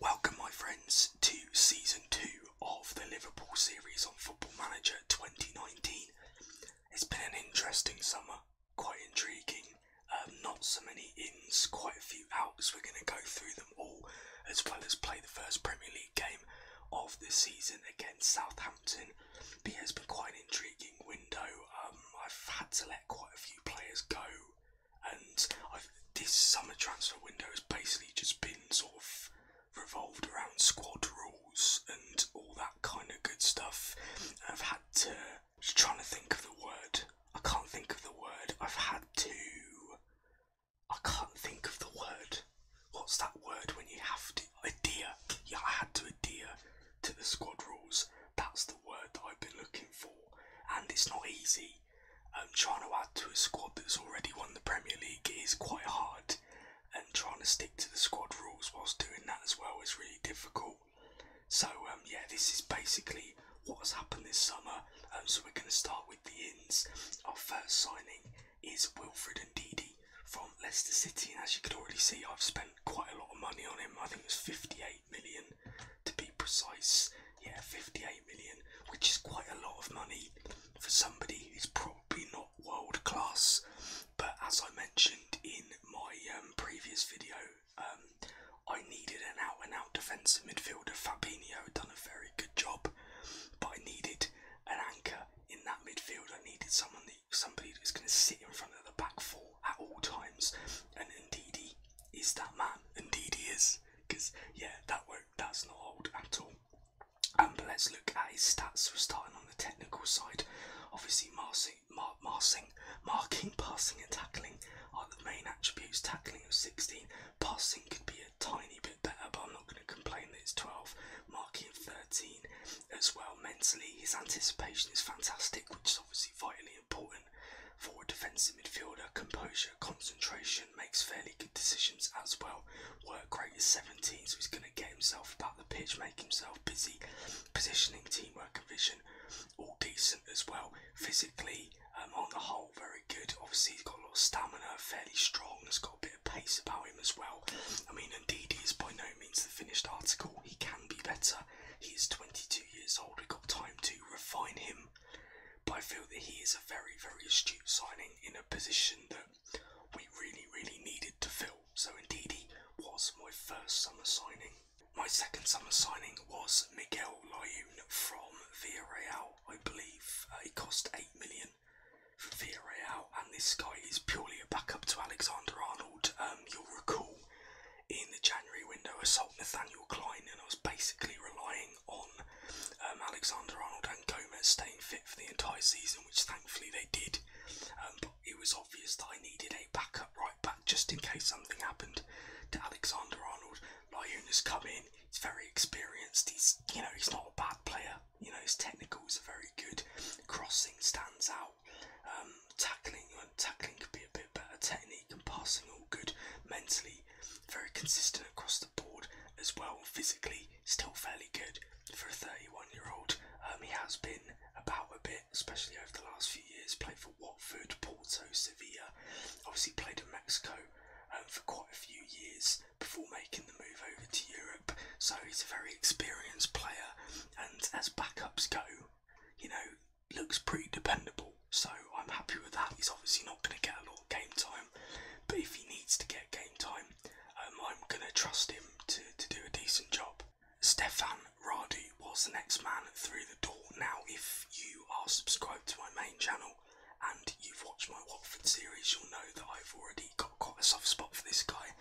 Welcome, my friends, to season two of the Liverpool series on Football Manager 2019. It's been an interesting summer, quite intriguing. Um, not so many ins, quite a few outs. We're going to go through them all, as well as play the first Premier League game of the season against Southampton. it's been quite an intriguing window. Um, I've had to let quite a few players go and this summer transfer window has basically just been sort of revolved around squad rules and all that kind of good stuff. I've had to just trying to think of the word. I can't think of the word. I've had to. I can't think of the word. What's that word when you have to adhere? Yeah, I had to adhere to the squad rules. That's the word that I've been looking for, and it's not easy. Um, trying to add to a squad that's already won the Premier League is quite hard, and trying to stick to the squad rules whilst doing that as well is really difficult. So um, yeah, this is basically what has happened this summer. Um, so we're going to start with the ins. Our first signing is Wilfred and Ndidi from Leicester City, and as you could already see, I've spent quite a lot of money on him. I think it's 58 million to be precise. Yeah, 58 million, which is quite a lot of money for somebody who's probably not world class. But as I mentioned in my um, previous video, um, I needed an out and out defensive midfielder. Fabinho had done a very good job, but I needed an anchor in that midfield. I needed someone that somebody that's going to sit in front of the back four at all times, and indeed he is that man. Indeed he is. Because, yeah, that work, that's not old at all. And but let's look at his stats. We're starting on the technical side. Obviously, marsing, mar marsing, marking, passing and tackling are the main attributes. Tackling of 16. Passing could be a tiny bit better, but I'm not going to complain that it's 12. Marking 13 as well. Mentally, his anticipation is fantastic, which is obviously vitally important for a defensive midfielder. Composure, concentration, makes fairly good decisions as well. Work rate is 17, so he's going to get himself about the pitch, make himself busy. Positioning, teamwork, vision, all decent as well. Physically, um, on the whole, very good. Obviously, he's got a lot of stamina, fairly strong. He's got a bit of pace about him as well. I mean, indeed, he is by no means the finished article. He can be better. He is 22 years old. We've got time to refine him but I feel that he is a very, very astute signing in a position that we really, really needed to fill. So indeed, he was my first summer signing. My second summer signing was Miguel Layun from Real. I believe. Uh, it cost 8 million from Real, and this guy is purely a backup to Alexander Arnold. Um, you'll recall in the January window I sold Nathaniel Klein and I was basically relying on um, Alexander Arnold and Gomez staying fit for the entire season, which thankfully they did. Um, but it was obvious that I needed a backup right back just in case something happened to Alexander Arnold. Lyona's come in, he's very experienced, he's you know, he's not a bad player, you know, his technicals are very good, crossing stands out, um, tackling tackling could be a bit bit better technique and passing all good mentally, very consistent across the board as well, physically still fairly good for a 31 year old. Um, he has been about a bit, especially over the last few years, played for Watford, Porto, Sevilla, obviously played in Mexico um, for quite a few years before making the move over to Europe. So he's a very experienced player, and as backups go, you know, looks pretty dependable, so I'm happy with that. He's obviously not going to get a lot game time, but if he needs to get game time, um, I'm going to trust him to, to do a decent job. Stefan Radu was the next man through the door. Now, if you are subscribed to my main channel and you've watched my Watford series, you'll know that I've already got quite a soft spot for this guy.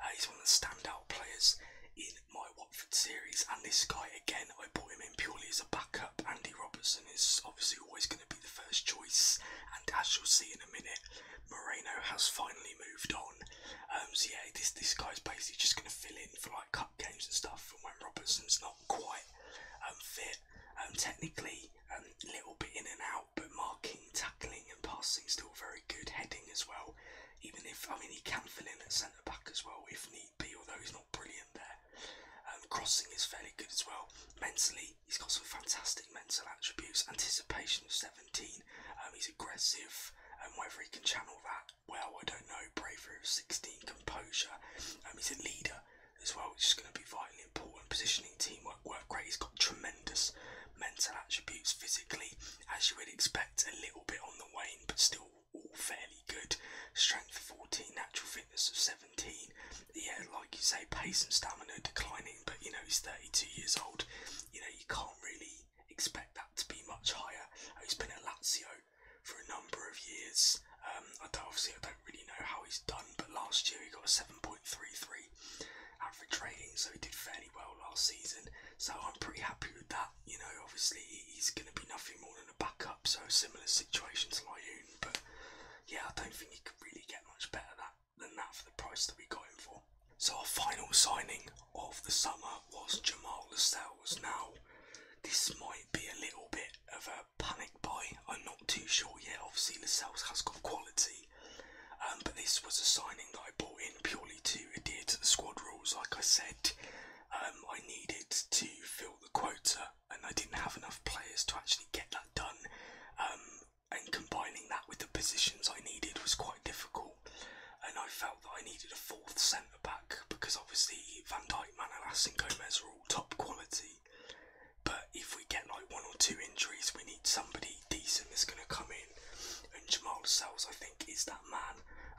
Uh, he's one of the standout players in my Watford series, and this guy again, I brought him in purely as a backup. Andy Robertson is obviously always going to be the first choice, and as you'll see in a minute, Moreno has finally moved on. Um, so yeah, this this guy's basically just going to fill in for like cup games and stuff, when Robertson's not quite um, fit, um, technically a um, little bit in and out, but marking, tackling, and passing still very good. Heading as well, even if I mean he can fill in at centre back as well if need be, although he's not brilliant there. Um, crossing is fairly good as well. Mentally, he's got some fantastic mental attributes. Anticipation of 17. Um, he's aggressive. And um, whether he can channel that well, I don't know. Bravery of 16. Composure. Um, he's a leader as well, which is going to be vitally important. Positioning, teamwork, work great. He's got tremendous mental attributes physically, as you would expect, a little bit on the wane, but still all, fairly good. Strength 14, natural fitness of 17. Yeah, like you say, pace and stamina declining, but you know, he's 32 years old. You know, you can't really expect that to be much higher. Uh, he's been at Lazio for a number of years. Um, I don't, obviously, I don't really know how he's done, but last year he got a 7.33 average rating, so he did fairly well last season. So I'm pretty happy with that you know, obviously he's going to be nothing more than a backup, so similar situation to Lyoun. But yeah, I don't think he could really get much better than that for the price that we got him for. So our final signing of the summer was Jamal Lascelles. Now, this might be a little bit of a panic buy. I'm not too sure yet. Obviously, Lascelles has got quality, um, but this was a signing that bought in purely to adhere to the squad rules. Like I said, um, I needed to fill the quota, and I didn't have enough players to actually get that done. Um, and combining that with the positions I needed was quite difficult. And I felt that I needed a fourth centre back because obviously Van Dijk, Manolas, and Gomez are all top quality. But if we get like one or two injuries, we need somebody decent that's going to come in and Jamal Sells, I think, is that man.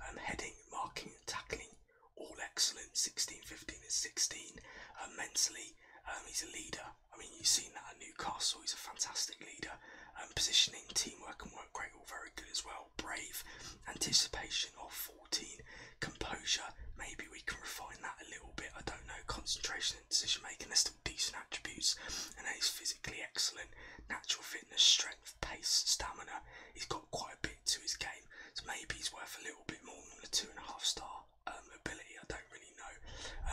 Um, heading, marking, tackling, all excellent. 16, 15, and 16. Uh, mentally, um, he's a leader. I mean, you've seen that at Newcastle. He's a fantastic leader. Um, positioning, teamwork, and work rate all very good as well. Brave, anticipation of 14, composure. Maybe we can refine that a little bit. I don't know. Concentration and decision making. are still decent attributes. And he's physically excellent. Natural fitness, strength pace, stamina. He's got quite a bit to his game, so maybe he's worth a little bit more than a two and a half star um, ability. I don't really know.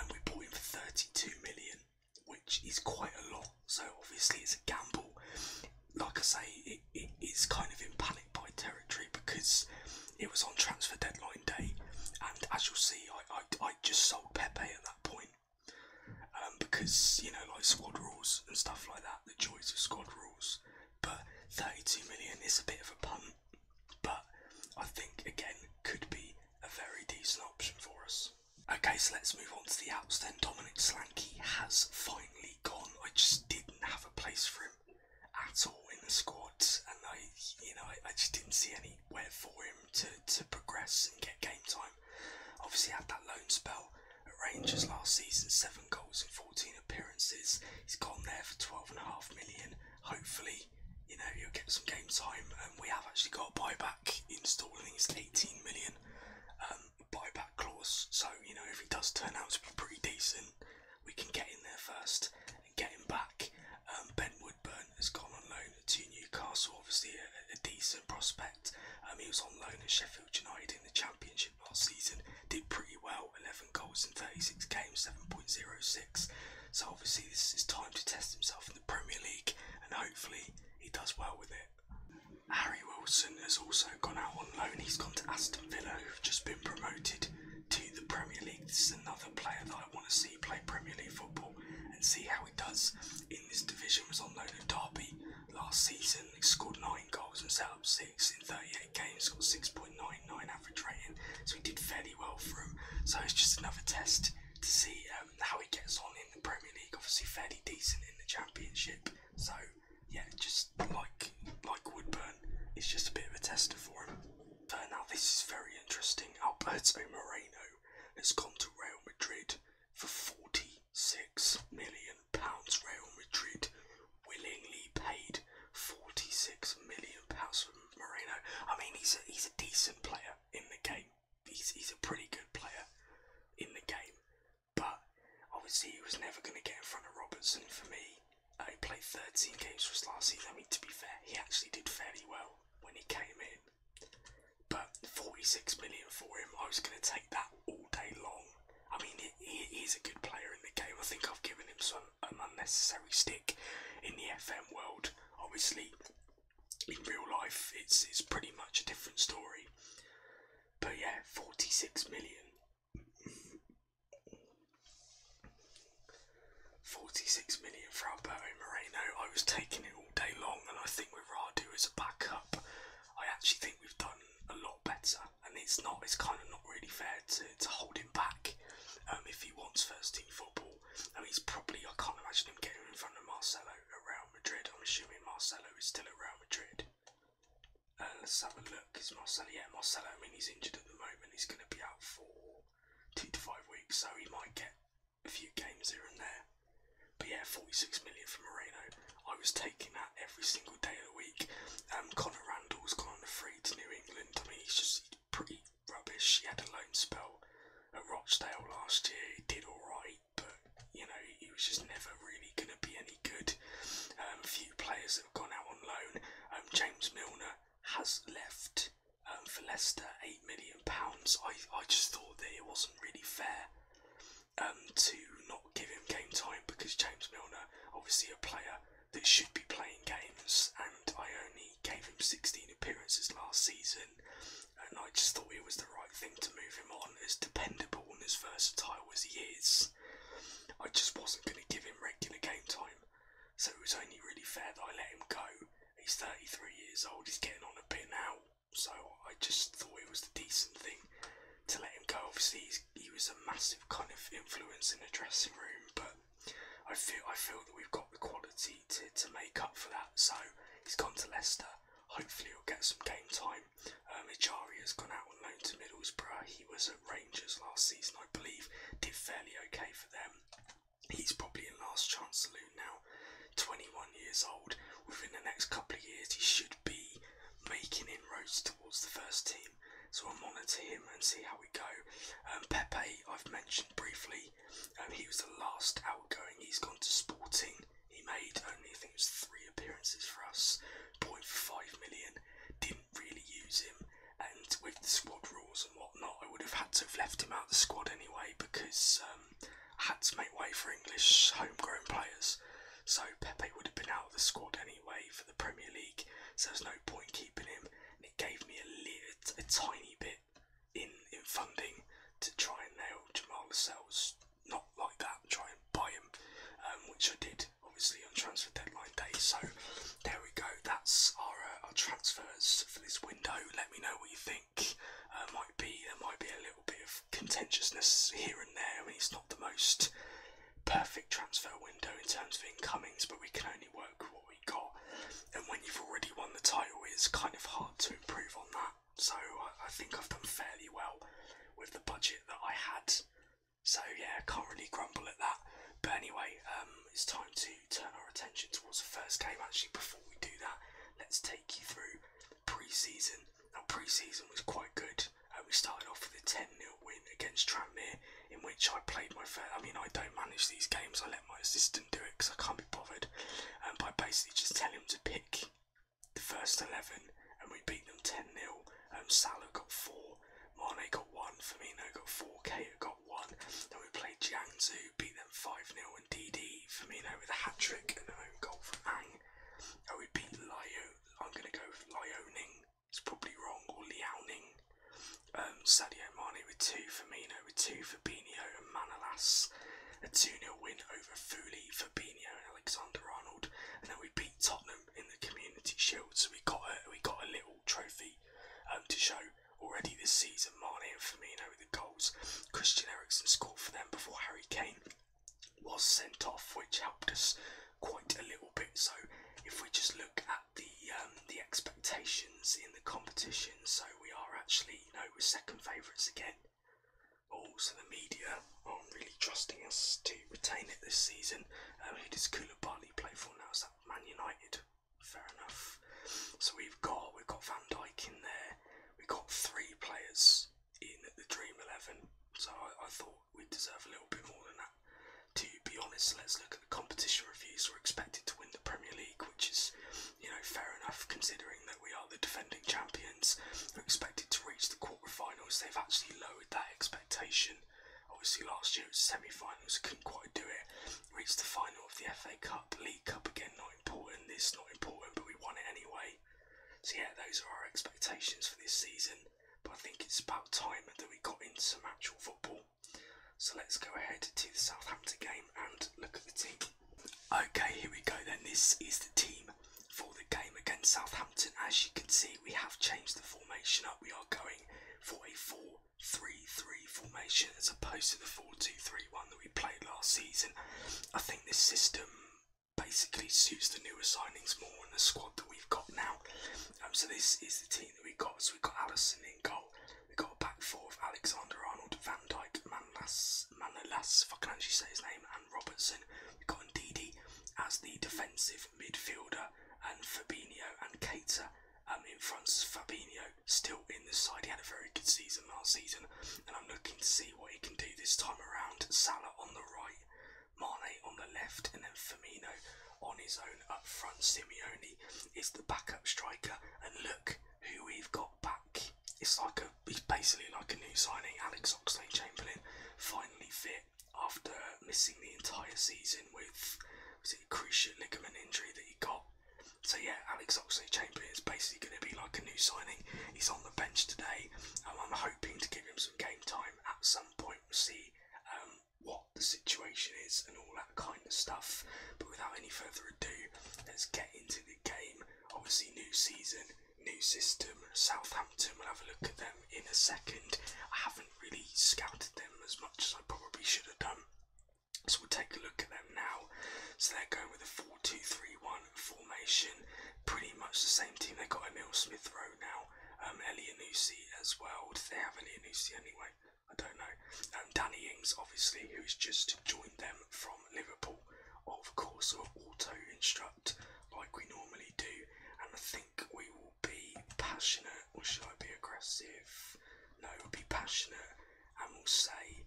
And um, we bought him for 32 million, which is quite a lot. So obviously it's a gamble. Like I say, it, it is kind of in panic buy territory because it was on transfer deadline day, and as you'll see, I, I just sold Pepe at that point. Um, because you know like squad rules and stuff like that, the joys of squad rules. But 32 million is a bit of a punt, but I think again could be a very decent option for us. Okay, so let's move on to the outs then. Dominic Slanky has finally gone. I just didn't have a place for him at all in the squad, and I, you know, I, I just didn't see anywhere for him to, to progress and get game time time. Obviously, had that loan spell at Rangers last season, seven goals and 14 appearances. He's gone there for 12.5 million. Hopefully, you know, he'll get some game time. And um, we have actually got a buyback installed, I think 18 million um, buyback clause. So, you know, if he does turn out to be pretty decent, we can get in there first and get him back. Um, ben Woodburn has gone on loan to Newcastle, obviously a, a decent prospect. Um, he was on loan at Sheffield United in the Championship last season, did pretty well 11 goals in 36 games, 7.06. So, obviously, this is time to test himself in the Premier League, and hopefully, he does well with it. Harry Wilson has also gone out on loan. He's gone to Aston Villa, who've just been promoted to the Premier League. This is another player that I want to see play Premier League football and see how does in this division. Was on loan at Derby last season. He scored nine goals and set up six in 38 games. Got 6.99 average rating, so he did fairly well through. So it's just another test to see um, how he gets on in the Premier League. Obviously, fairly decent in the Championship. So yeah, just like like Woodburn, it's just a bit of a tester for him. But now this is very interesting. Alberto Moreno has gone to Real Madrid for £46 million. Rail Madrid willingly paid £46 million for Moreno. I mean, he's a, he's a decent player in the game. He's, he's a pretty good player in the game. But obviously, he was never going to get in front of Robertson for me. Uh, he played 13 games for us last season. I mean, to be fair, he actually did fairly well when he came in. But 46 million for him, I was going to take that all day long. I mean, he's a good player in the game. I think I've given him some an unnecessary stick in the FM world. Obviously, in real life, it's it's pretty much a different story. But yeah, 46 million. 46 million for Alberto Moreno. I was taking it day long, and I think with Radu as a backup, I actually think we've done a lot better. And it's not, it's kind of not really fair to, to hold him back um, if he wants first team football. I mean, he's probably, I can't imagine him getting in front of Marcelo at Real Madrid. I'm assuming Marcelo is still at Real Madrid. Uh, let's have a look. Marcelo, yeah, Marcelo, I mean, he's injured at the moment. He's going to be out for two to five weeks, so he might get a few games here and there. But yeah, 46 million for Moreno. I was taking that every single day of the week. Um, Connor Randall's gone on a free to New England. I mean, he's just pretty rubbish. He had a loan spell at Rochdale last year. He did alright, but you know, he was just never really going to be any good. Um, a few players that have gone out on loan. Um, James Milner has left um, for Leicester, eight million pounds. I I just thought that it wasn't really fair um, to not give him game time because James Milner, obviously a player that should be playing games, and I only gave him 16 appearances last season, and I just thought it was the right thing to move him on. As dependable and as versatile as he is, I just wasn't going to give him regular game time, so it was only really fair that I let him go. He's 33 years old, he's getting on a bit now, so I just thought it was the decent thing to let him go. Obviously, he was a massive kind of influence in the dressing room, but I feel I feel that we've got the quality to, to make up for that. So he's gone to Leicester. Hopefully, he'll get some game time. Um, has gone out on loan to Middlesbrough. He was at Rangers last season, I believe. Did fairly okay for them. He's probably in Last Chance Saloon now, 21 years old. Within the next couple of years, he should be making inroads towards the first team. So I'll monitor him and see how we go. Um, Pepe, I've mentioned briefly, um, he was the last outgoing. He's gone to Sporting. He made only, I think it was three appearances for us, 0.5 million. Didn't really use him. And with the squad rules, whatnot, I would have had to have left him out of the squad anyway because um, I had to make way for English homegrown players. So Pepe would have been out of the squad anyway for the Premier League, so there's no point keeping him. And it gave me a, little, a tiny bit in in funding to try and nail Jamal Lascelles. Not like that, try and buy him, um, which I did obviously on transfer deadline day. So there we go. That's our uh, our transfers for this window. Let me know what you think. Uh, might be there might be a little bit of contentiousness here and there. I mean, it's not the most perfect transfer window in terms of incomings, but we can only work with what we got. And when you've already won the title, it's kind of hard to improve on that. So I, think I've done fairly well with the budget that I had. So yeah, can't really grumble at that. But anyway, um, it's time to turn our attention towards the first game. Actually, before we do that, let's take you through pre-season. Now, pre-season was quite good. Uh, we started off with a 10 0 win against Tranmere, in which I played my first. I mean, I don't manage these games. I let my assistant do it because I can't be bothered. and um, but I basically just tell him to pick the first 11, and we beat them 10 0. Um, Salah got four, Mane got one, Firmino got four, Kate got 1. Then we played Jiangsu, beat them 5 0, and DD Firmino with a hat trick and an own goal from Ang. And we beat Lyo, I'm going to go with Lyoning, it's probably wrong, or Liaoning. Um, Sadio Mane with 2, Firmino with 2, Fabinho and Manolas. A 2 0 win over Fuli, Fabinho, and Alexander Arnold. And then we beat Tottenham in the Community Shield, so we got a, we got a little trophy um, to show already this season. Mane and Firmino with the goals. Christian Eriksen scored for them before Harry Kane was sent off, which helped us quite a little bit. So if we just look at the um, the expectations in the competition, so we are actually you know we're second favourites again. Also, oh, the media aren't really trusting us to retain it this season. Um, who does Koulibaly play for now? Is that Man United? fair enough. So we've got we've got Van Dyke in there. We've got three players in the Dream Eleven. So I, thought we deserve a little bit more than that. To be honest, let's look at the competition reviews. We're expected to win the Premier League, which is, you know, fair enough considering that we are the defending champions. We're expected to reach the quarterfinals. They've actually lowered that expectation. Obviously, last year it was semi-finals, couldn't quite do it. Reached the final of the FA Cup, League Cup again, not important. This not important, but we won it anyway. So yeah, those are our expectations for this season. But I think it's about time that we got into some actual football. So let's go ahead to the Southampton game and look at the team. Okay, here we go then. This is the team for the game against Southampton. As you can see, we have changed the formation up. We are going for a 4 3 3 formation as opposed to the 4-2-3-1 that we played last season. I think this system basically suits the newer signings more and the squad that we've got now. Um, so this is the team that we got. So we've got Allison in goal. We've got a back four of Alexander Arnold, Van Dyke, Manlas, Manolas, if I can actually say his name, and Robertson. We've got Ndidi as the defensive midfielder and Fabinho and Cater um, in front's Fabinho still in the side. He had a very good season last season, and I'm looking to see what he can do this time around. Salah on the right, Mane on the left, and then Firmino on his own up front. Simeone is the backup striker, and look who we've got back. It's like a, he's basically like a new signing. Alex Oxlade-Chamberlain finally fit after missing the entire season with basically cruciate ligament injury that he got. So yeah, Alex Oxlade-Chamberlain is basically going to be like a new signing. He's on the bench today. Um, I'm hoping to give him some game time at some point. We'll see um, what the situation is and all that kind of stuff. But without any further ado, let's get into the game. Obviously, new season, new system. Southampton, we'll have a look at them in a second. I haven't really scouted them as much as I probably should have done. So we'll take a look at them now. So they're going with a 4-2-3-1 formation. Pretty much the same team. They've got Emil Smith Rowe now. Um, Elianusi as well. Did they have Elianusi anyway? I don't know. Um, Danny Ings, obviously, who's just joined them from Liverpool. Of course, we will auto instruct like we normally do. And I think we will be passionate or should I be aggressive? No, we'll be passionate and we'll say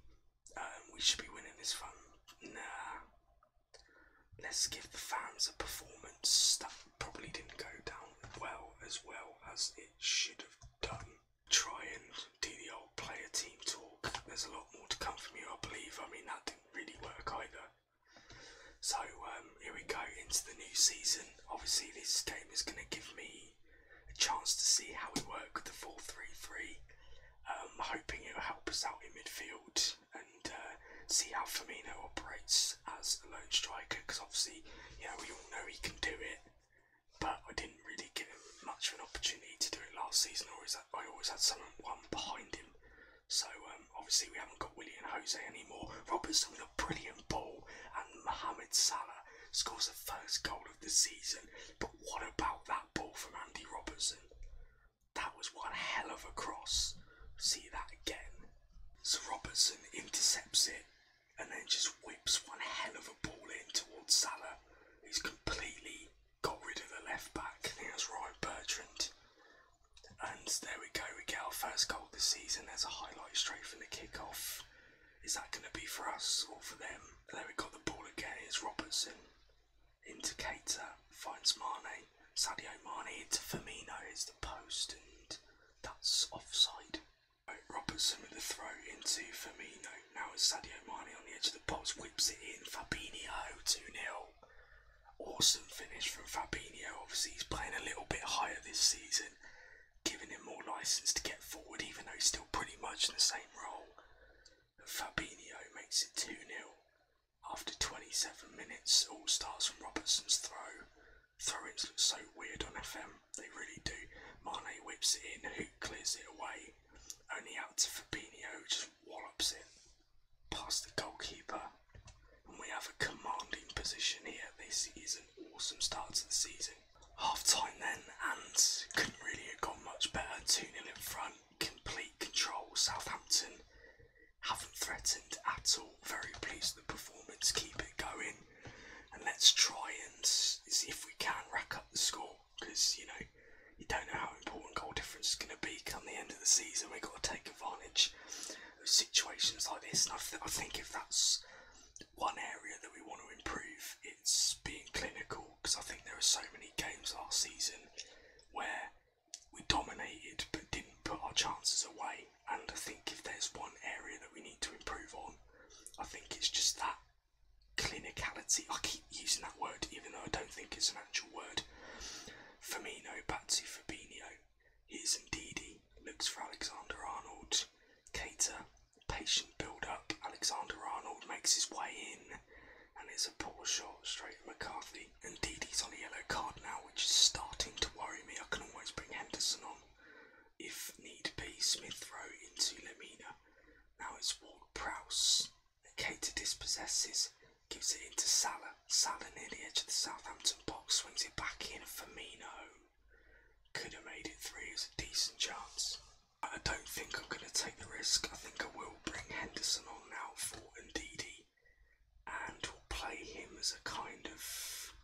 um, we should be winning this one. Nah, let's give the fans a performance that probably didn't go down well as well as it should have done. Try and do the old player team talk. There's a lot more to come from you, I believe. I mean, that didn't really work either. So, um, um, here we go into the new season. Obviously, this game is going to give me a chance to see how we work with the four-three-three, 3 3. Um, hoping it'll help us out in midfield and uh, see how Firmino operates as a lone striker because obviously, yeah, we all know he can do it, but I didn't really give him much of an opportunity to do it last season. Always, I always had someone one behind him. So um, obviously we haven't got Willie and Jose anymore. Robertson looked brilliant Usain and Mohamed Salah scores the first goal of the season, but what about that ball from Andy Robertson? That was one hell of a cross. See that again. So Robertson intercepts it and then just whips one hell of a ball in towards Salah. He's completely got rid of the left back. I think right Bertrand. And there we go, we get our first goal this season. There's a highlight straight from the kickoff. Is that going to be for us or for them? There we got the ball again. It's Robertson. Into Cater, finds Marné. Sadio Mane into Firmino. It's the post, and that's offside. Robertson with the throw into Firmino. Now it's Sadio Mane on the edge of the box, whips it in. Fabinho 2 0. Awesome finish from Fabinho. Obviously, he's playing a little bit higher this season giving him more license to get forward, even though he's still pretty much in the same role. But Fabinho makes it 2 0 after 27 minutes. All starts from Robertson's throw. Throw ins look so weird on FM, they really do. Mane whips it in, who clears it away. Only out to who just wallops it past the goalkeeper we have a commanding position here. This is an awesome start to the season. Half time then, and couldn't really have gone much better. 2 0 in front, complete control. Southampton haven't threatened at all. Very pleased with the performance. Keep it going. And let's try and see if we can rack up the score because, you know, you don't know how important goal difference is going to be come the end of the season. We've got to take advantage situations like this. And I, think if that's one area that we want to improve, it's being clinical. Because I think there are so many games last season where we dominated but didn't put our chances away. And I think if there's one area that we need to improve on, I think it's just that clinicality. I keep using that word, even though I don't think it's an actual word. Firmino, Batsy, Fabinho, Here's indeedy looks for Alexander Arnold. Cater, patient build up. Alexander Arnold makes his way in, and it's a poor shot straight McCarthy. Indeedy's on a yellow card now, which is starting to worry me. I can always bring Henderson on if need be. Smith throw into Lamina. Now it's Ward Prowse. Cater dispossesses, gives it into Salah. Salah near the edge of the Southampton box swings it back in. for Firmino could have made it three. as a decent chance. I don't think I'm going to take the risk. I think I will bring Henderson on now for Ndidi and we'll play him as a kind of.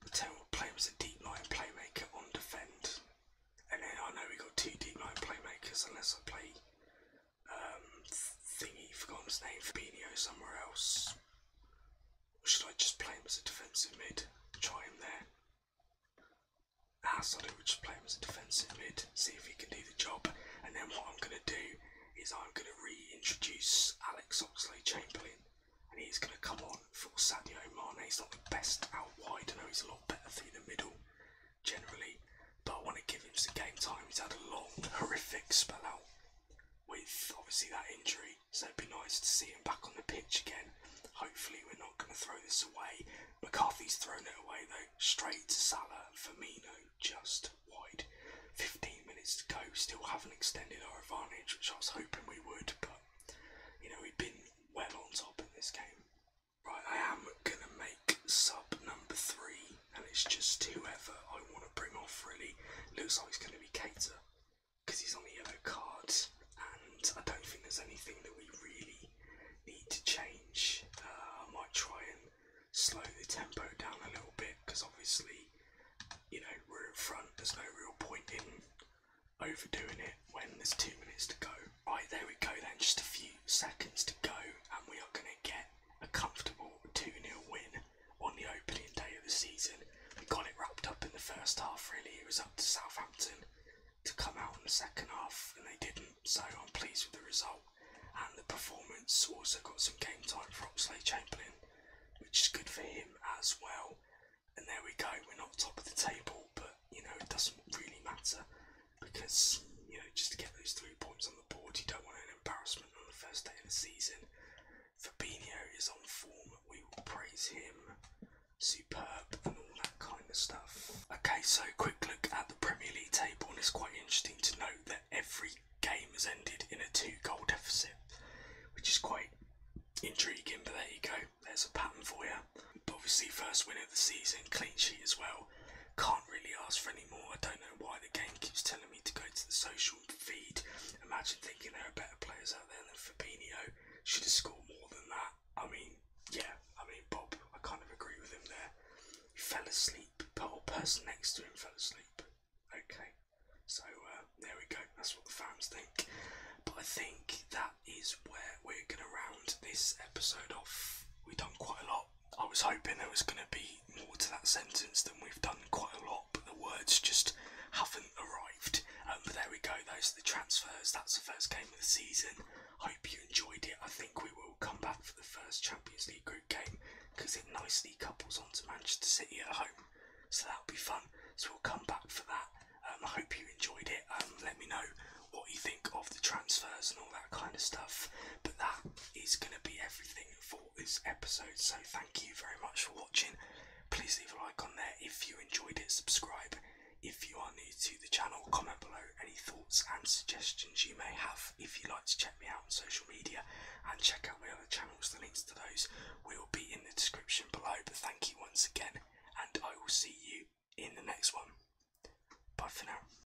Pretend we'll play him as a deep line playmaker on defend. And then I know we got two deep line playmakers unless I play um, thingy, forgotten his name, Fabinho somewhere else. should I just play him as a defensive mid? Try him there. I so I would just play him as a defensive mid, see if he can do the job. And then what I'm going to do is I'm going to reintroduce Alex Oxley chamberlain And he's going to come on for Sadio Mane. He's not the best out wide. I know he's a lot better through the middle, generally. But I want to give him some game time. He's had a long, horrific spell out with obviously that injury. So it'd be nice to see him back on the pitch again. Hopefully, we're not going to throw this away. McCarthy's thrown it away though, straight to Salah. Firmino just wide. 15 minutes to go. Still haven't extended our advantage, which I was hoping we would, but you know we've been well on top in this game. Right, I am gonna make sub number three, and it's just whoever I want to bring off really. Looks like it's going to be Cater because he's on the other cards, and I don't think there's anything that we really need to change. Uh, I might try and slow the tempo down a little bit because obviously, you know, we're in front, there's no real point in overdoing it when there's two minutes to go. Right, there we go then, just a few seconds to go, and we are going to get a comfortable 2 0 win on the opening day of the season and got it wrapped up in the first half, really. It was up to Southampton to come out in the second half, and they didn't, so I'm pleased with the result and the performance. Also, got some game time for Oxley Chamberlain, which is good for him as well. And there we go, we're not top of the table, but you know, it doesn't really matter because you know, just to get those three points on the You don't want an embarrassment on the first day of the season. Fabinho is on form. We will praise him. Superb and all that kind of stuff. Okay, so quick look at the Premier League table, and it's quite interesting to note that every game has ended in a two goal deficit, which is quite intriguing, but there you go. There's a pattern for you. obviously, first win of the season, clean sheet as well well. Can't really ask for any more. I don't know why the game keeps telling me to go to the social feed. Imagine thinking there are better players out there than Fabinho. Should have scored more than that. I mean, yeah, I mean, Bob, I kind of agree with him there. He fell asleep. The a person next to him fell asleep. Okay, so uh, there we go. That's what the fans think. But I think that is where we're going to round this episode off. We've done quite a lot. I was hoping there was going to be more to that sentence than we've done quite a lot, but the words just haven't arrived. Um, but there we go, those are the transfers. That's the first game of the season. Hope you enjoyed it. I think we will come back for the first Champions League group game because it nicely couples on to Manchester City at home. So that'll be fun. So we'll come back for that. Um, I hope you enjoyed it. Um, let me know what you think of the transfers and all that kind of stuff. But that is going to be everything for this episode. So thank you very much for watching. Please leave a like on there if you enjoyed it. Subscribe if you are new to the channel. Comment below any thoughts and suggestions you may have. If you'd like to check me out on social media and check out my other channels, the links to those will be in the description below. But thank you once again, and I will see you in the next one. Bye for now.